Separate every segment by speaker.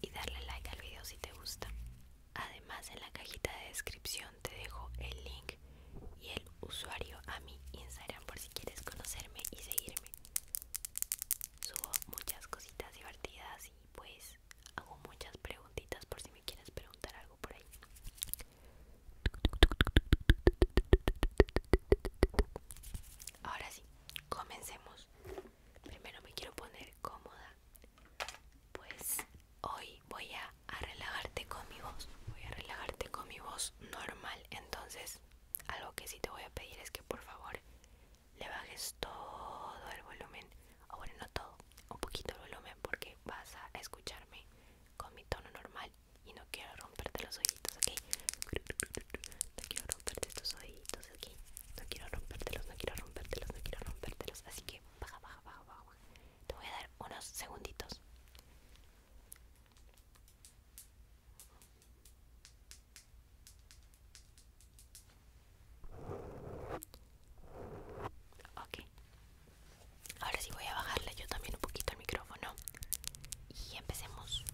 Speaker 1: y darle like al video si te gusta. Además en la cajita de descripción te dejo el link y el usuario a mi Instagram por si quieres conocerme y seguirme. Subo muchas cositas divertidas y pues hago muchas preguntitas por si me quieres preguntar algo por ahí. Ahora sí, comencemos primero me quiero poner cómoda pues hoy voy a, relajarte con mi voz voy a relajarte con mi voz normal entonces algo que sí te voy a pedir es que por favor le bajes todo el volumen o bueno no todo un poquito el volumen porque vas a escucharme con mi tono normal y no quiero romperte los ojitos ok no quiero romperte estos oídos, aquí No quiero rompértelos, no quiero rompértelos, no quiero rompértelos. Así que baja, baja, baja, baja. Te voy a dar unos segunditos. Ok. Ahora sí voy a bajarle yo también un poquito el micrófono. Y empecemos.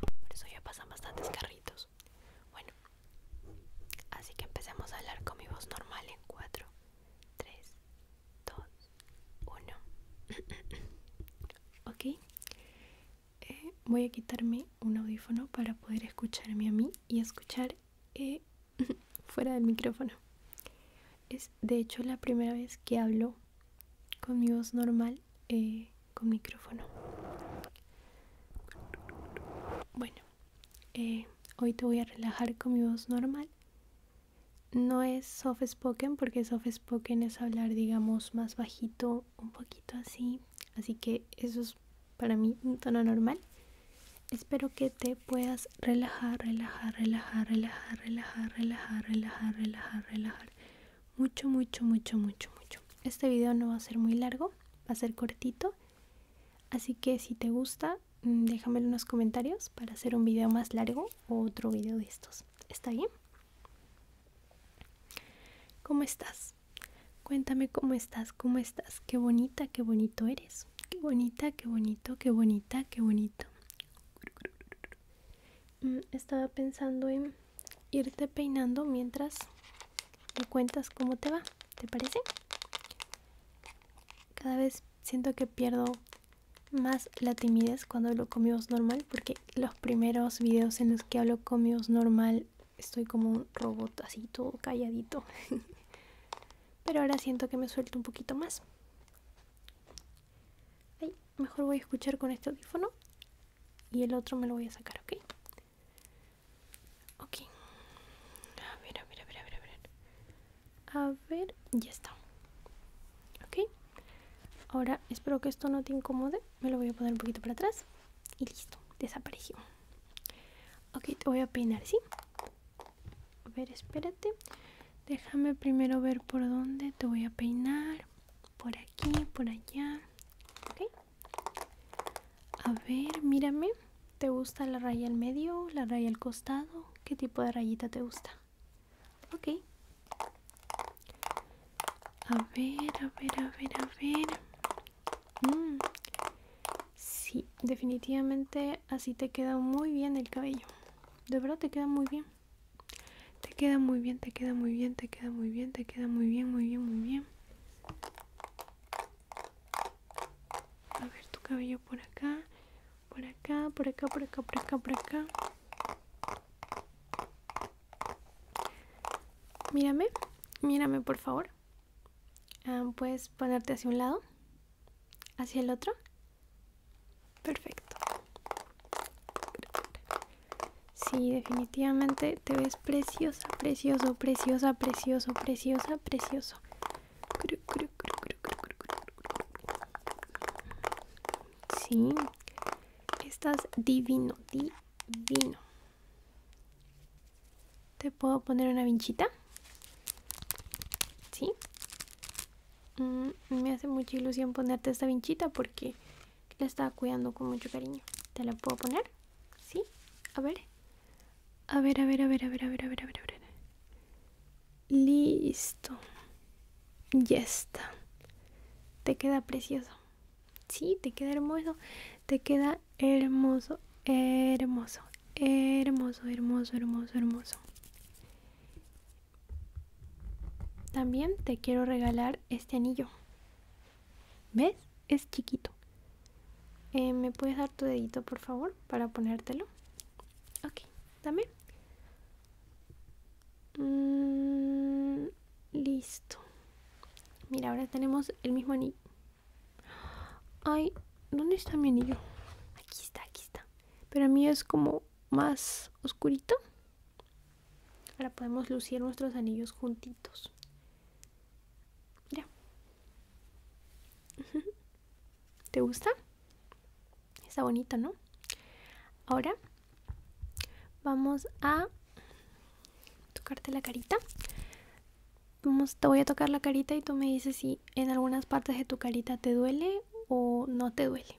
Speaker 1: Por eso ya pasan bastantes carritos. Bueno, así que empecemos a hablar con mi voz normal en 4, 3, 2, 1. ok, eh, voy a quitarme un audífono para poder escucharme a mí y escuchar eh, fuera del micrófono. Es de hecho la primera vez que hablo con mi voz normal eh, con micrófono. Bueno, eh, hoy te voy a relajar con mi voz normal. No es soft spoken porque soft spoken es hablar, digamos, más bajito, un poquito así. Así que eso es para mí un tono normal. Espero que te puedas relajar, relajar, relajar, relajar, relajar, relajar, relajar, relajar, relajar mucho, mucho, mucho, mucho, mucho. Este video no va a ser muy largo, va a ser cortito. Así que si te gusta, mm, déjamelo en los comentarios para hacer un video más largo o otro video de estos. ¿Está bien? ¿Cómo estás? Cuéntame cómo estás, cómo estás. Qué bonita, qué bonito eres. Qué bonita, qué bonito, qué bonita, qué bonito. Mm, estaba pensando en irte peinando mientras me cuentas cómo te va, ¿te parece? Cada vez siento que pierdo más la timidez cuando hablo con mi voz normal porque los primeros videos en los que hablo con mi voz normal estoy como un robot así todo calladito. Pero ahora siento que me suelto un poquito más. mejor voy a escuchar con este audífono y el otro me lo voy a sacar, ¿ok? Ok. A ver, a ver, a ver, a ver, ya está. ¿Ok? Ahora espero que esto no te incomode. Me lo voy a poner un poquito para atrás. Y listo, desapareció. Ok, te voy a peinar, ¿sí? A ver, espérate. Déjame primero ver por dónde te voy a peinar por aquí, por allá. A ver, mírame. ¿Te gusta la raya al medio, la raya al costado? ¿Qué tipo de rayita te gusta? Ok. A ver, a ver, a ver, a ver. Mm. Sí, definitivamente así te queda muy bien el cabello. De verdad te queda muy bien. Te queda muy bien, te queda muy bien, te queda muy bien, te queda muy bien, muy bien, muy bien. A ver tu cabello por acá, por acá, por acá, por acá, por acá, por acá. Mírame, mírame por favor. Ah, puedes ponerte hacia un lado, hacia el otro. Perfecto. Sí, definitivamente te ves preciosa, precioso, preciosa, precioso, preciosa, precioso. Sí, estás divino, divino. ¿Te puedo poner una vinchita? Sí. Mm, me hace mucha ilusión ponerte esta vinchita porque la estaba cuidando con mucho cariño. ¿Te la puedo poner? ¿Sí? A ver. A ver, a ver, a ver, a ver, a ver, a ver, a ver. A ver. Listo. Ya está. Te queda precioso. Sí, te queda hermoso. Te queda hermoso, hermoso, hermoso, hermoso, hermoso, hermoso. También te quiero regalar este anillo. ¿Ves? Es chiquito. Eh, ¿Me puedes dar tu dedito, por favor, para ponértelo? Ok, dame. Mm, listo. Mira, ahora tenemos el mismo anillo. Ay, ¿dónde está mi anillo? Aquí está, aquí está. Pero a mí es como más oscurito. Ahora podemos lucir nuestros anillos juntitos. Mira. ¿Te gusta? Está bonita, ¿no? Ahora vamos a tocarte la carita. Vamos, te voy a tocar la carita y tú me dices si en algunas partes de tu carita te duele o no te duele.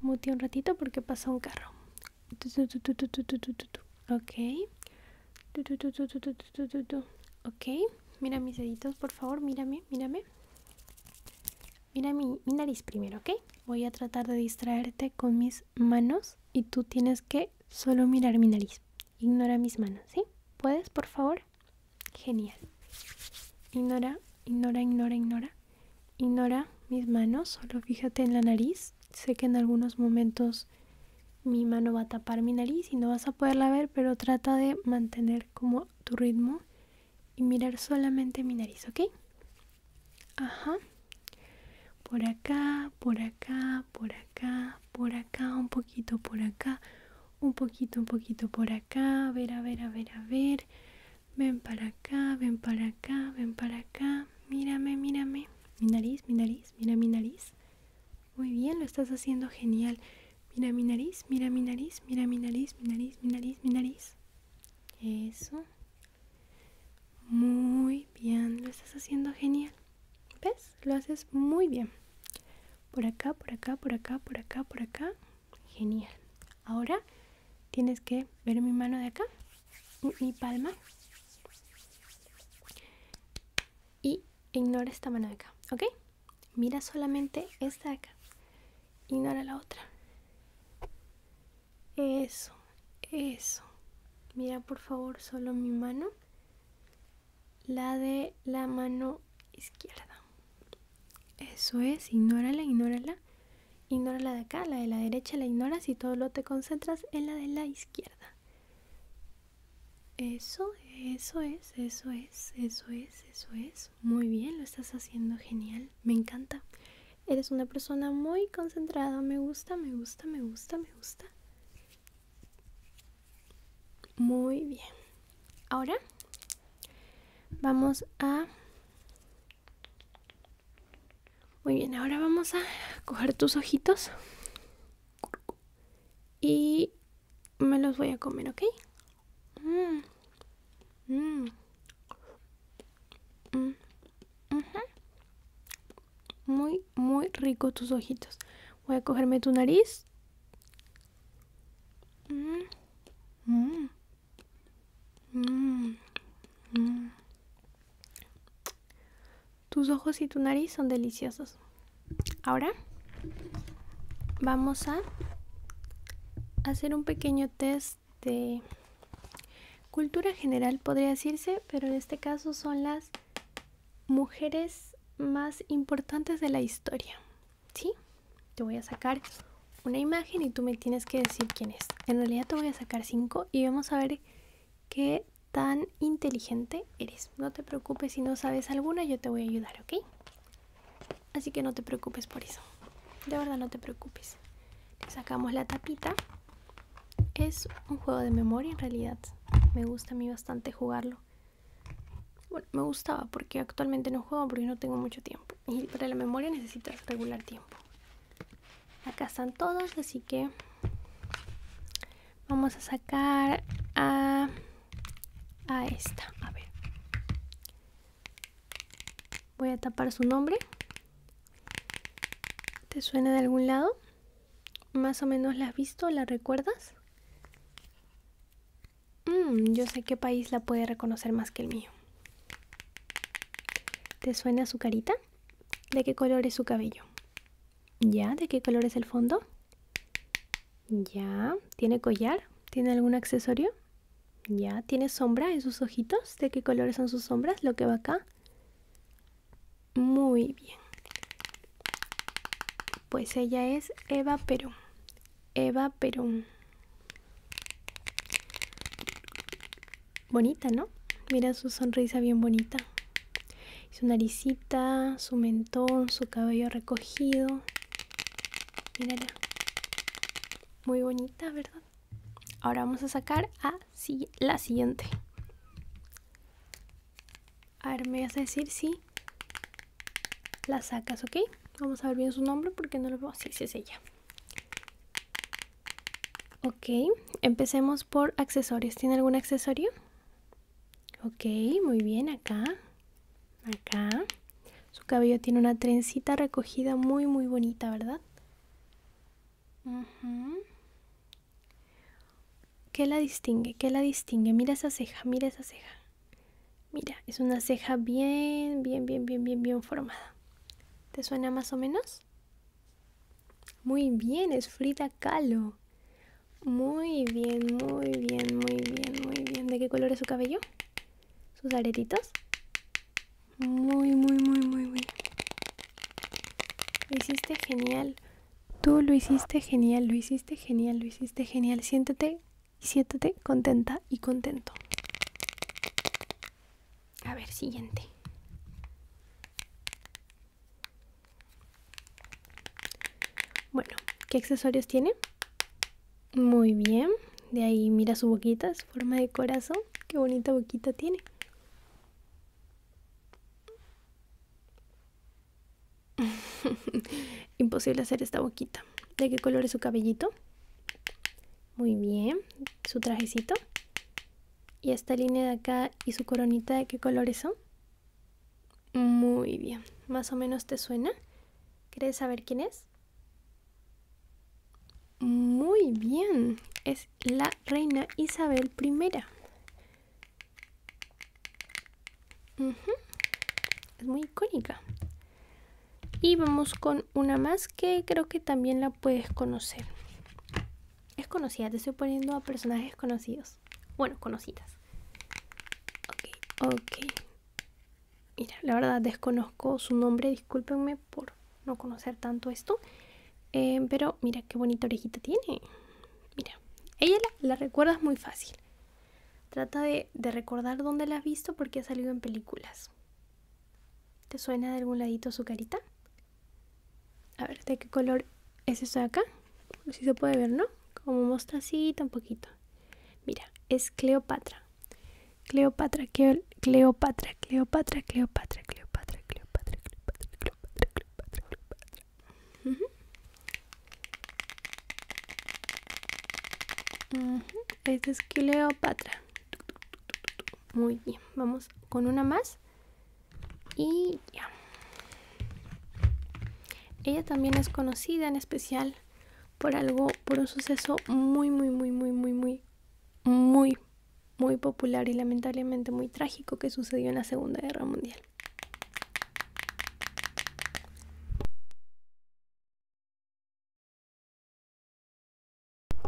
Speaker 1: Muti un ratito porque pasa un carro. Ok. Ok. Mira mis deditos, por favor. Mírame, mírame. Mira mi, mi nariz primero, ¿ok? Voy a tratar de distraerte con mis manos y tú tienes que solo mirar mi nariz. Ignora mis manos, ¿sí? ¿Puedes, por favor? Genial. Ignora, ignora, ignora, ignora. Ignora mis manos, solo fíjate en la nariz. Sé que en algunos momentos mi mano va a tapar mi nariz y no vas a poderla ver, pero trata de mantener como tu ritmo y mirar solamente mi nariz, ¿ok? Ajá. Por acá, por acá, por acá, por acá, un poquito por acá, un poquito, un poquito por acá, a ver, a ver, a ver, a ver, ven para acá, ven para acá, ven para acá, mírame, mírame, mi nariz, mi nariz, mira mi nariz, muy bien, lo estás haciendo genial, mira mi nariz, mira mi nariz, mira mi nariz, mi nariz, mi nariz, mi nariz, eso, muy bien, lo estás haciendo genial, ¿ves? Lo haces muy bien por acá, por acá, por acá, por acá, por acá. Genial. Ahora tienes que ver mi mano de acá, mi palma. Y ignora esta mano de acá, ¿ok? Mira solamente esta de acá. Ignora la otra. Eso, eso. Mira por favor solo mi mano la de la mano izquierda. Eso es, ignórala, ignórala. Ignórala de acá, la de la derecha la ignoras y todo lo te concentras en la de la izquierda. Eso, eso es, eso es, eso es, eso es. Muy bien, lo estás haciendo genial. Me encanta. Eres una persona muy concentrada. Me gusta, me gusta, me gusta, me gusta. Muy bien. Ahora vamos a... Muy bien, ahora vamos a coger tus ojitos y me los voy a comer, ¿ok? Mmm, mmm, Muy, muy rico tus ojitos. Voy a cogerme tu nariz tus ojos y tu nariz son deliciosos. Ahora vamos a hacer un pequeño test de cultura general, podría decirse, pero en este caso son las mujeres más importantes de la historia. ¿Sí? Te voy a sacar una imagen y tú me tienes que decir quién es. En realidad te voy a sacar cinco y vamos a ver qué tan inteligente eres. No te preocupes si no sabes alguna, yo te voy a ayudar, ¿ok? Así que no te preocupes por eso. De verdad no te preocupes. sacamos la tapita. Es un juego de memoria en realidad. Me gusta a mí bastante jugarlo. Bueno, me gustaba porque actualmente no juego porque no tengo mucho tiempo. Y para la memoria necesitas regular tiempo. Acá están todos, así que vamos a sacar a, a esta. A ver. Voy a tapar su nombre. ¿Te suena de algún lado? ¿Más o menos la has visto? ¿La recuerdas? Mm, yo sé qué país la puede reconocer más que el mío. ¿Te suena su carita? ¿De qué color es su cabello? ¿Ya? ¿De qué color es el fondo? ¿Ya? ¿Tiene collar? ¿Tiene algún accesorio? ¿Ya? ¿Tiene sombra en sus ojitos? ¿De qué color son sus sombras? Lo que va acá. Muy bien. Pues ella es Eva Perón. Eva Perón. Bonita, ¿no? Mira su sonrisa bien bonita. Su naricita, su mentón, su cabello recogido. Mírala. Muy bonita, ¿verdad? Ahora vamos a sacar a la siguiente. A ver, me vas a decir si la sacas, ¿ok? Vamos a ver bien su nombre porque no lo puedo decir si es ella. Ok, empecemos por accesorios. ¿Tiene algún accesorio? Ok, muy bien, acá. Acá. Su cabello tiene una trencita recogida muy, muy bonita, ¿verdad? ¿Qué la distingue? ¿Qué la distingue? Mira esa ceja, mira esa ceja. Mira, es una ceja bien, bien, bien, bien, bien, bien formada. ¿Te suena más o menos? Muy bien, es frita Kahlo. Muy bien, muy bien, muy bien, muy bien. ¿De qué color es su cabello? ¿Sus aretitos? Muy, muy, muy, muy, muy. Lo hiciste genial. Tú lo hiciste genial, lo hiciste genial, lo hiciste genial. Siéntate siéntate contenta y contento. A ver, siguiente. Bueno, ¿qué accesorios tiene? Muy bien. De ahí mira su boquita, su forma de corazón. Qué bonita boquita tiene. Imposible hacer esta boquita. ¿De qué color es su cabellito? Muy bien. Su trajecito. Y esta línea de acá y su coronita, ¿de qué colores son? Muy bien. Más o menos te suena. ¿Quieres saber quién es? Muy bien. Es la reina Isabel I. Es muy icónica. Y vamos con una más que creo que también la puedes conocer. Es conocida, te estoy poniendo a personajes conocidos. Bueno, conocidas. Ok, ok. Mira, la verdad desconozco su nombre, discúlpenme por no conocer tanto esto. Eh, pero mira qué bonita orejita tiene. Mira, ella la, recuerda recuerdas muy fácil. Trata de, recordar dónde la has visto porque ha salido en películas. ¿Te suena de algún ladito su carita? A ver, ¿de qué color es esto de acá? Si se puede ver, ¿no? Como muestra un poquito. Mira, es Cleopatra. Cleopatra, Cleopatra, Cleopatra, Cleopatra, Cleopatra, Cleopatra, Cleopatra, Cleopatra, Cleopatra, Cleopatra, Cleopatra, Cleopatra, esta es Cleopatra. Muy bien, vamos con una más. Y ya. Ella también es conocida en especial por algo, por un suceso muy, muy, muy, muy, muy, muy, muy muy popular y lamentablemente muy trágico que sucedió en la Segunda Guerra Mundial.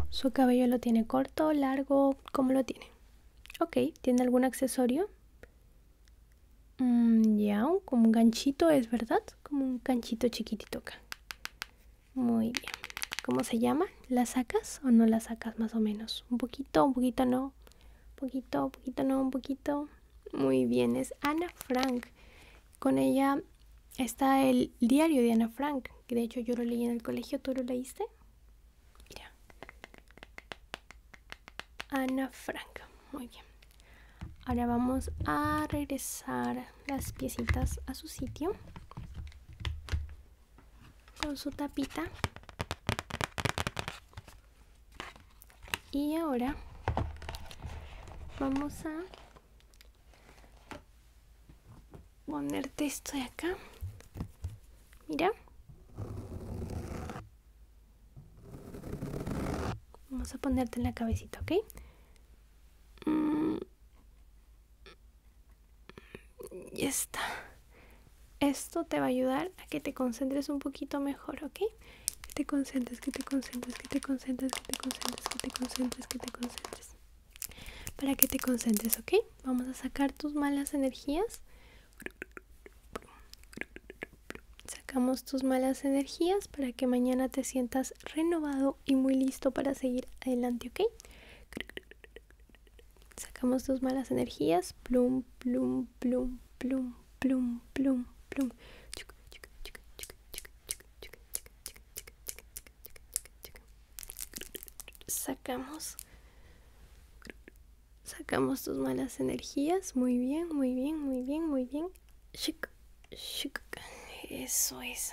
Speaker 1: ¿Su cabello lo tiene corto, largo? ¿Cómo lo tiene? Ok, ¿tiene algún accesorio? Mmm, ya, como un ganchito, ¿es verdad? Como un ganchito chiquitito acá. Muy bien. ¿Cómo se llama? ¿La sacas o no la sacas más o menos? un poquito, un poquito no, un poquito, un poquito no, un poquito. Muy bien, es Ana Frank. Con ella está el diario de Ana Frank, que de hecho yo lo leí en el colegio, ¿tú lo leíste? Mira. Ana Frank, muy bien. Ahora vamos a regresar las piecitas a su sitio con su tapita y ahora vamos a ponerte esto de acá mira vamos a ponerte en la cabecita ok mm. Y está. Esto te va a ayudar a que te concentres un poquito mejor, ¿ok? te concentres, que te concentres, que te concentres, que te concentres, que te concentres, que te concentres. Para que te concentres, ¿ok? Vamos a sacar tus malas energías. Sacamos tus malas energías para que mañana te sientas renovado y muy listo para seguir adelante, ¿ok? Sacamos tus malas energías. Plum, plum, plum, plum, plum, plum, plum. Sacamos. Sacamos tus malas energías. Muy bien, muy bien, muy bien, muy bien. Eso es.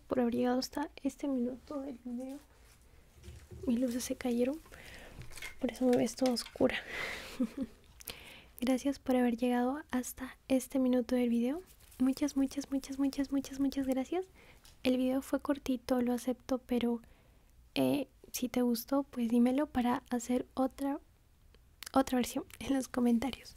Speaker 1: por haber llegado hasta este minuto del video. Mis luces se cayeron, por eso me ves toda oscura. gracias por haber llegado hasta este minuto del video. Muchas, muchas, muchas, muchas, muchas, muchas gracias. El video fue cortito, lo acepto, pero eh, si te gustó, pues dímelo para hacer otra, otra versión en los comentarios.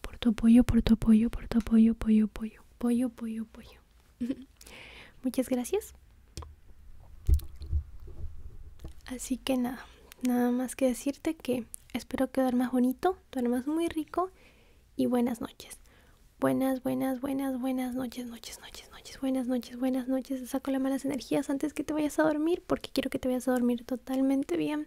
Speaker 1: por tu apoyo, por tu apoyo, por tu apoyo, apoyo, apoyo, apoyo, apoyo, apoyo. Muchas gracias. Así que nada, nada más que decirte que espero que duermas bonito, duermas muy rico y buenas noches. Buenas, buenas, buenas, buenas noches, noches, noches, noches, buenas noches, buenas noches. Saco las malas energías antes que te vayas a dormir porque quiero que te vayas a dormir totalmente bien